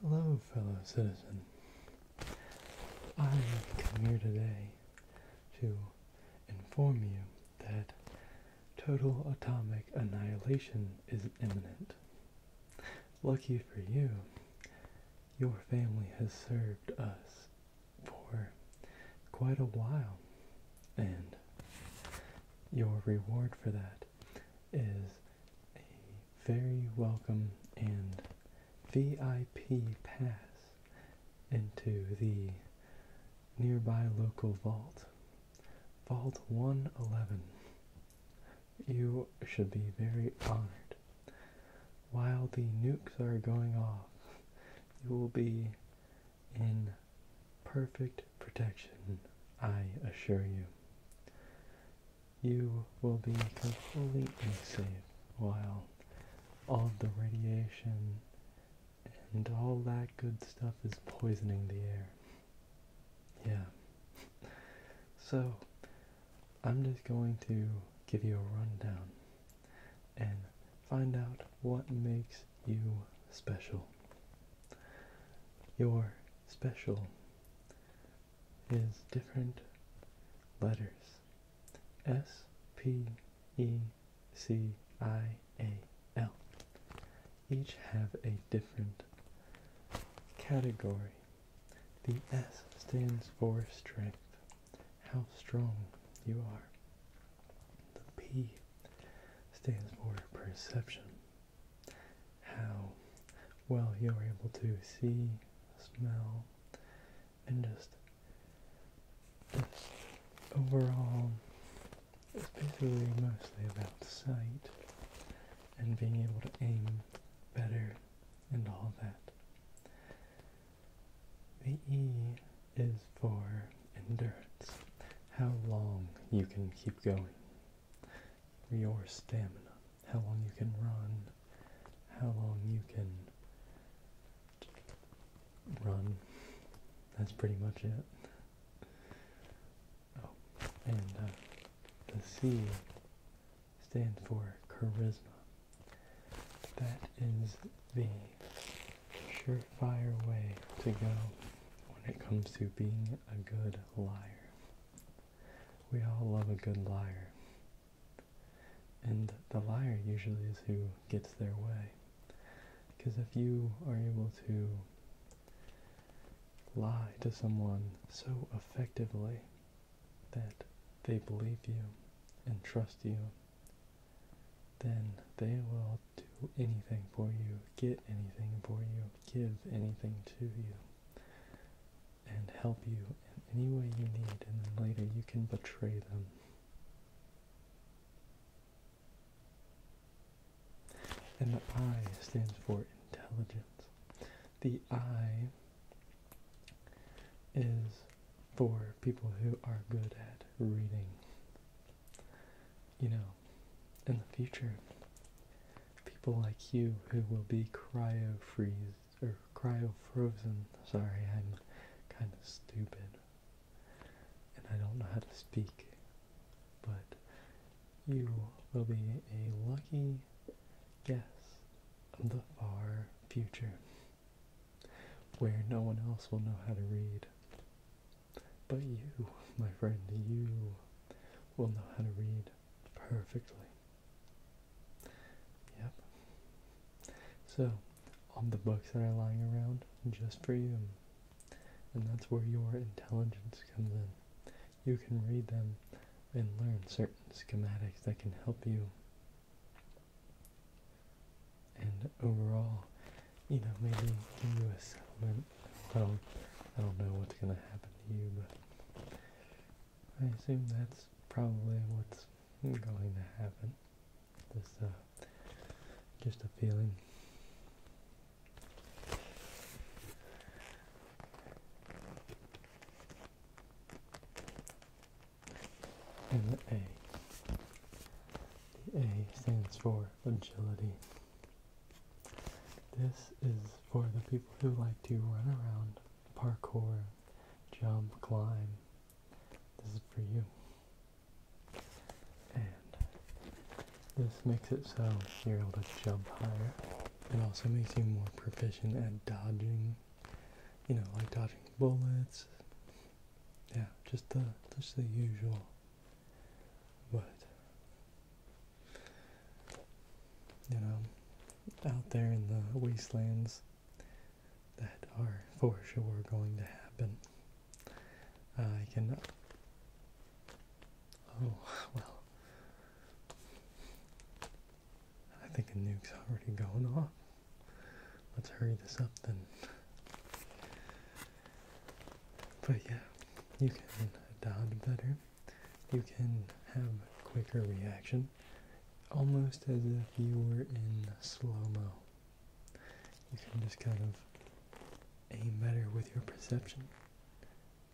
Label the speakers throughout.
Speaker 1: Hello, fellow citizen. I have come here today to inform you that total atomic annihilation is imminent. Lucky for you, your family has served us for quite a while, and your reward for that is a very welcome and VIP pass into the nearby local vault, Vault 111. You should be very honored. While the nukes are going off, you will be in perfect protection, I assure you. You will be completely safe while all the radiation and all that good stuff is poisoning the air. Yeah. So, I'm just going to give you a rundown and find out what makes you special. Your special is different letters S P E C I A L. Each have a different category. The S stands for strength, how strong you are. The P stands for perception, how well you're able to see, smell, and just overall it's basically mostly about sight and being able to aim better and all that. The E is for endurance, how long you can keep going your stamina, how long you can run, how long you can run. That's pretty much it. Oh, and uh, the C stands for charisma. That is the surefire way to go when it comes to being a good liar. We all love a good liar. And the liar usually is who gets their way. Because if you are able to lie to someone so effectively that they believe you and trust you, then they will do anything for you, get anything for you, give anything to you and help you in any way you need, and then later you can betray them. And the I stands for intelligence. The I is for people who are good at reading. You know, in the future, people like you who will be cryo freezed or cryo frozen. Sorry, I'm kind of stupid and I don't know how to speak, but you will be a lucky guest of the far future where no one else will know how to read. But you, my friend, you will know how to read perfectly. Yep. So, all the books that are lying around just for you. And that's where your intelligence comes in. You can read them and learn certain schematics that can help you. And overall, you know, maybe give you a settlement I don't, I don't know what's going to happen to you, but I assume that's probably what's going to happen. This, uh, just a feeling. And the A. The A stands for agility. This is for the people who like to run around, parkour, jump, climb. This is for you. And this makes it so you're able to jump higher. It also makes you more proficient at dodging, you know, like dodging bullets. Yeah, just the just the usual but, you know, out there in the wastelands that are for sure going to happen, I can. Oh, well. I think a nuke's already going off. Let's hurry this up then. But yeah, you can adopt better you can have quicker reaction, almost as if you were in slow-mo. You can just kind of aim better with your perception,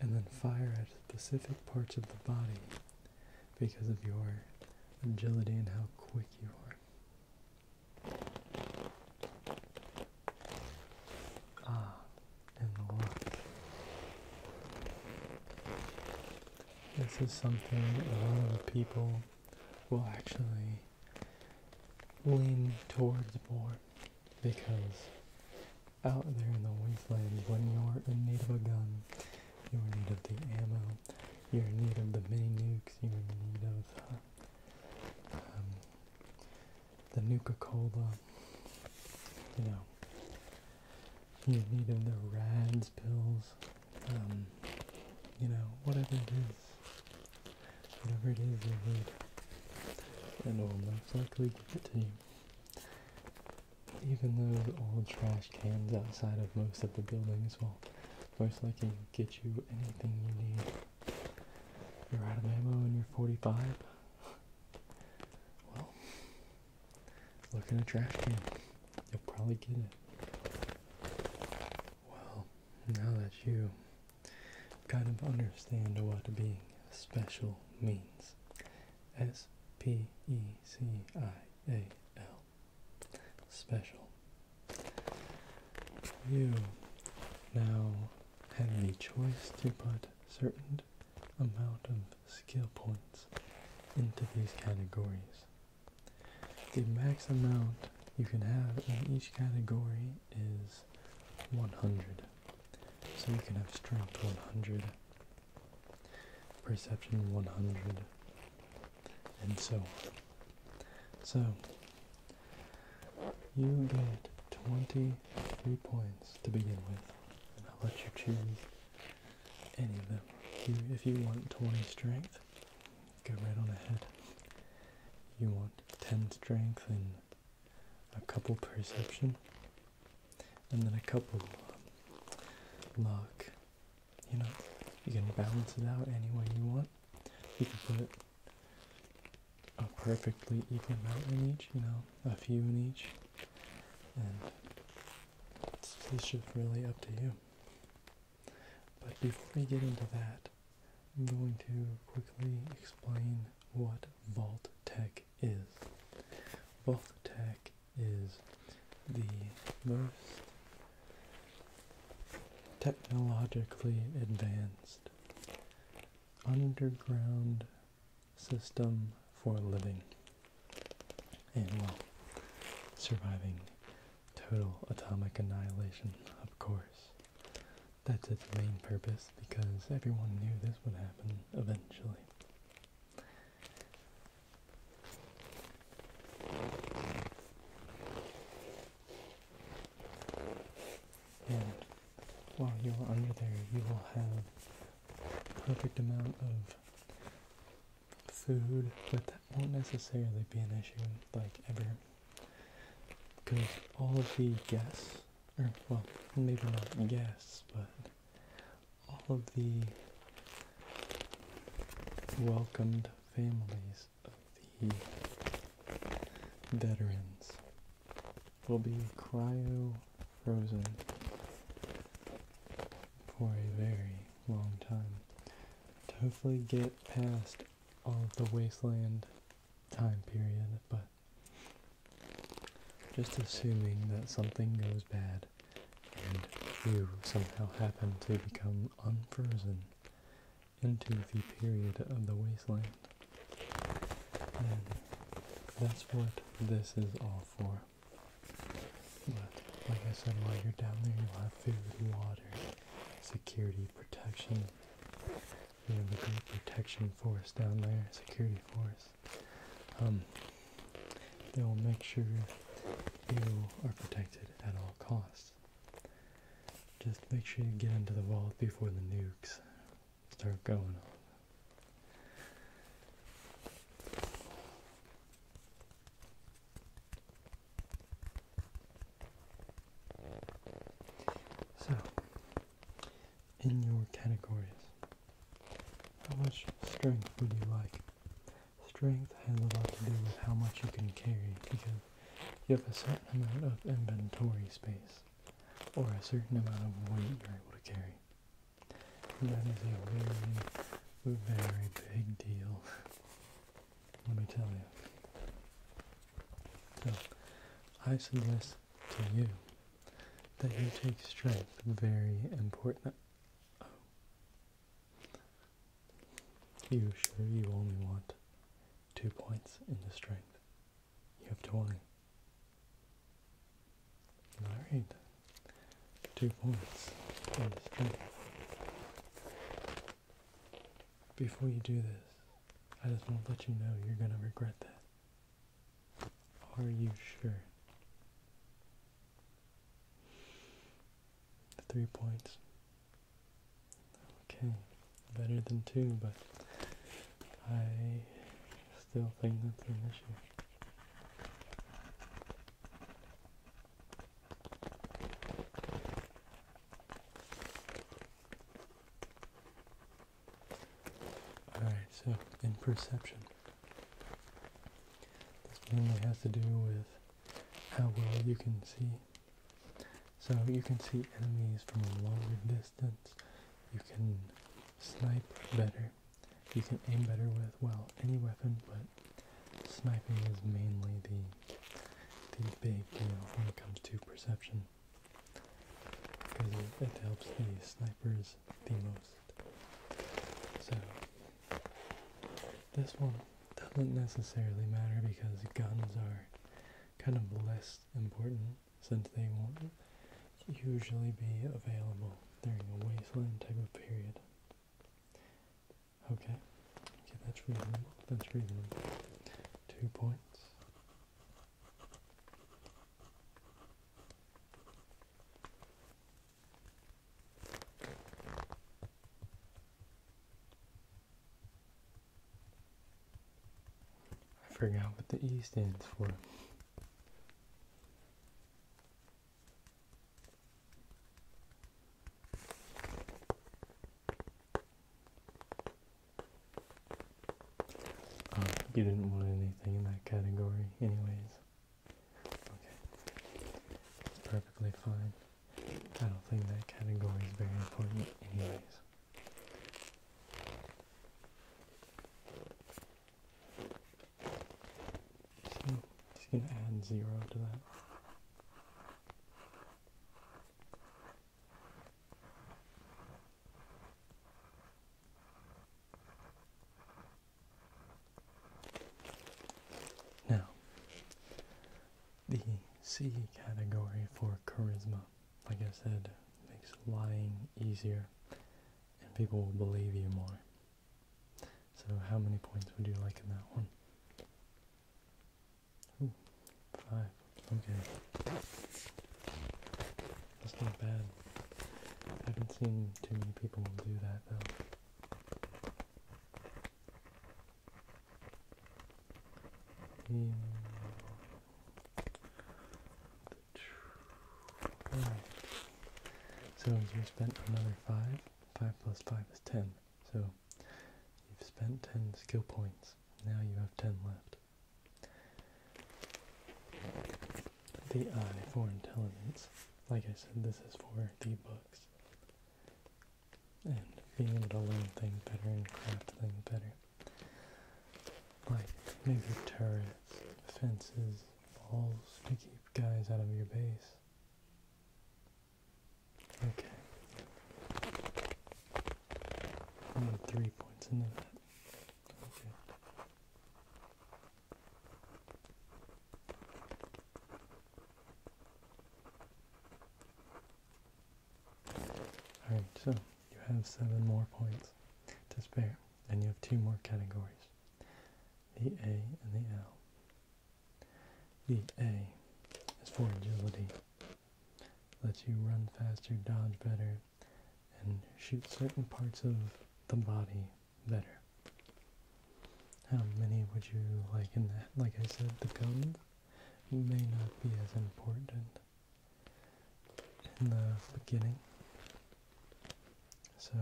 Speaker 1: and then fire at specific parts of the body because of your agility and how quick you are. Ah, and look. This is something a lot of people will actually lean towards more because out there in the wastelands when you're in need of a gun, you're in need of the ammo, you're in need of the mini nukes, you're in need of um, the Nuka Cola, you know, you need them, the RADS pills, um, you know, whatever it is, whatever it is you need, and will most likely give it to you. Even those old trash cans outside of most of the buildings will most likely get you anything you need. You're out of ammo and you're 45. Well, look in a trash can. You'll probably get it. Well, now that you kind of understand what being special means, S P E C I A L, special. You now have the choice to put certain amount of skill points into these categories. The max amount you can have in each category is 100. So you can have strength 100, perception 100, and so on. So you get 20 three points to begin with, and I'll let you choose any of them. If you, if you want 20 strength, go right on ahead. You want 10 strength and a couple perception, and then a couple um, luck. You know, you can balance it out any way you want. You can put a perfectly even amount in each, you know, a few in each. And it's, it's just really up to you. But before we get into that, I'm going to quickly explain what Vault Tech is. Vault Tech is the most technologically advanced underground system for living and, well, surviving total atomic annihilation, of course. That's its main purpose because everyone knew this would happen eventually. And while you're under there, you will have perfect amount of food, but that won't necessarily be an issue, like, ever. Because all of the guests, or, well, maybe not guests, but all of the welcomed families of the veterans will be cryo frozen for a very long time to hopefully get past all of the wasteland time period, but just assuming that something goes bad and you somehow happen to become unfrozen into the period of the wasteland that's what this is all for. But like I said, while you're down there, you'll have food, water, security, protection. We have a great protection force down there, security force. Um, they will make sure you are protected at all costs. Just make sure you get into the vault before the nukes Start going on. So, in your categories, how much strength would you like? Strength has a lot to do with how much you can carry because you have a certain amount of inventory space or a certain amount of weight you're able to carry that is a very, very big deal. Let me tell you. I suggest to you that you take strength very important. Oh. You sure you only want two points in the strength? You have 20. Alright. Two points Before you do this, I just want to let you know you're going to regret that. Are you sure? Three points. Okay, better than two, but I still think that's an issue. Alright, so in perception, this mainly has to do with how well you can see. So you can see enemies from a longer distance, you can snipe better, you can aim better with, well, any weapon, but sniping is mainly the, the big deal when it comes to perception. Because it, it helps the snipers the most. So, this one doesn't necessarily matter because guns are kind of less important since they won't usually be available during a wasteland type of period. Okay, okay, that's reasonable, that's reasonable. Two points. I forgot what the E stands for. Uh, you didn't want anything in that category, anyways. Okay, it's perfectly fine. I don't think that category is very important, anyways. So just gonna add zero to that. Now, the C category for charisma, like I said, makes lying easier and people will believe you more. So how many points would you like in that one? five. Okay. That's not bad. I haven't seen too many people do that though. Hmm. So you spent another five. Five plus five is ten. So you've spent ten skill points. Now you have ten left. The eye for intelligence. Like I said, this is for the books. And being able to learn things better and craft things better. Like maybe turrets, fences, balls to keep guys out of your base. Okay. Only three points into that. Okay. Alright, so you have seven more points to spare. And you have two more categories, the A and the L. The A is for agility. Lets you run faster, dodge better, and shoot certain parts of the body better. How many would you like in that? Like I said, the guns may not be as important in the beginning. So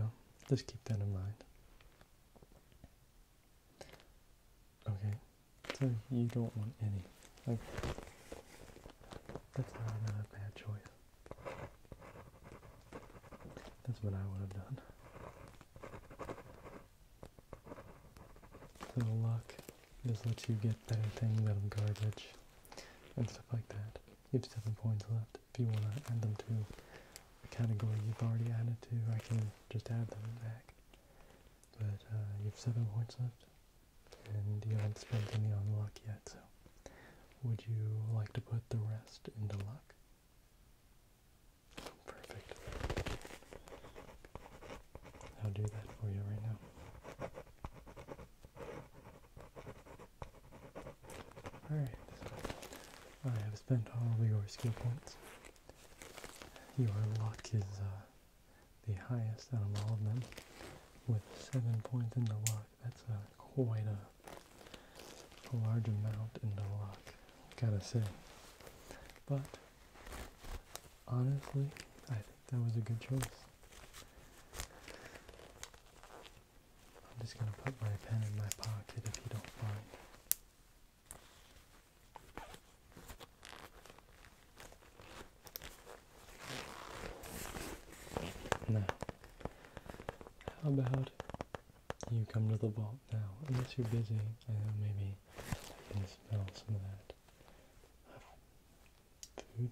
Speaker 1: just keep that in mind. Okay, so you don't want any. That's not a bad choice. That's what I would have done. So luck just lets you get better things out of garbage and stuff like that. You have seven points left. If you want to add them to a category you've already added to, I can just add them back. But uh, you have seven points left, and you haven't spent any on luck yet, so would you like to put the rest into luck? Perfect. I'll do that for you right now. Alright, I have spent all of your skill points. Your luck is uh, the highest out of all of them, with 7 points in the luck. That's uh, quite a, a large amount in the luck, gotta say. But, honestly, I think that was a good choice. I'm just going to put my pen in my pocket if you don't mind. Now, how about you come to the vault now? Unless you're busy, I know maybe I can smell some of that food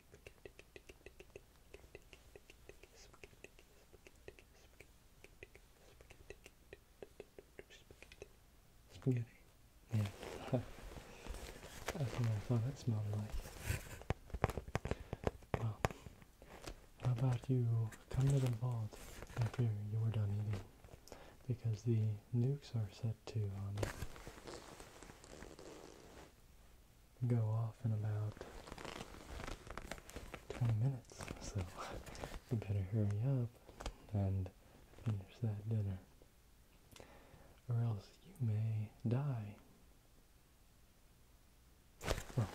Speaker 1: Spaghetti. Yeah. I don't know what that smells like. Well, how about you come to the vault after you were done eating? Because the nukes are set to um, go off in about 20 minutes, so you better hurry up and finish that dinner, or else you may die. Well,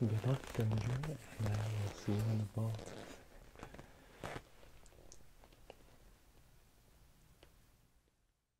Speaker 1: good luck, stranger, and I will see you in the boat.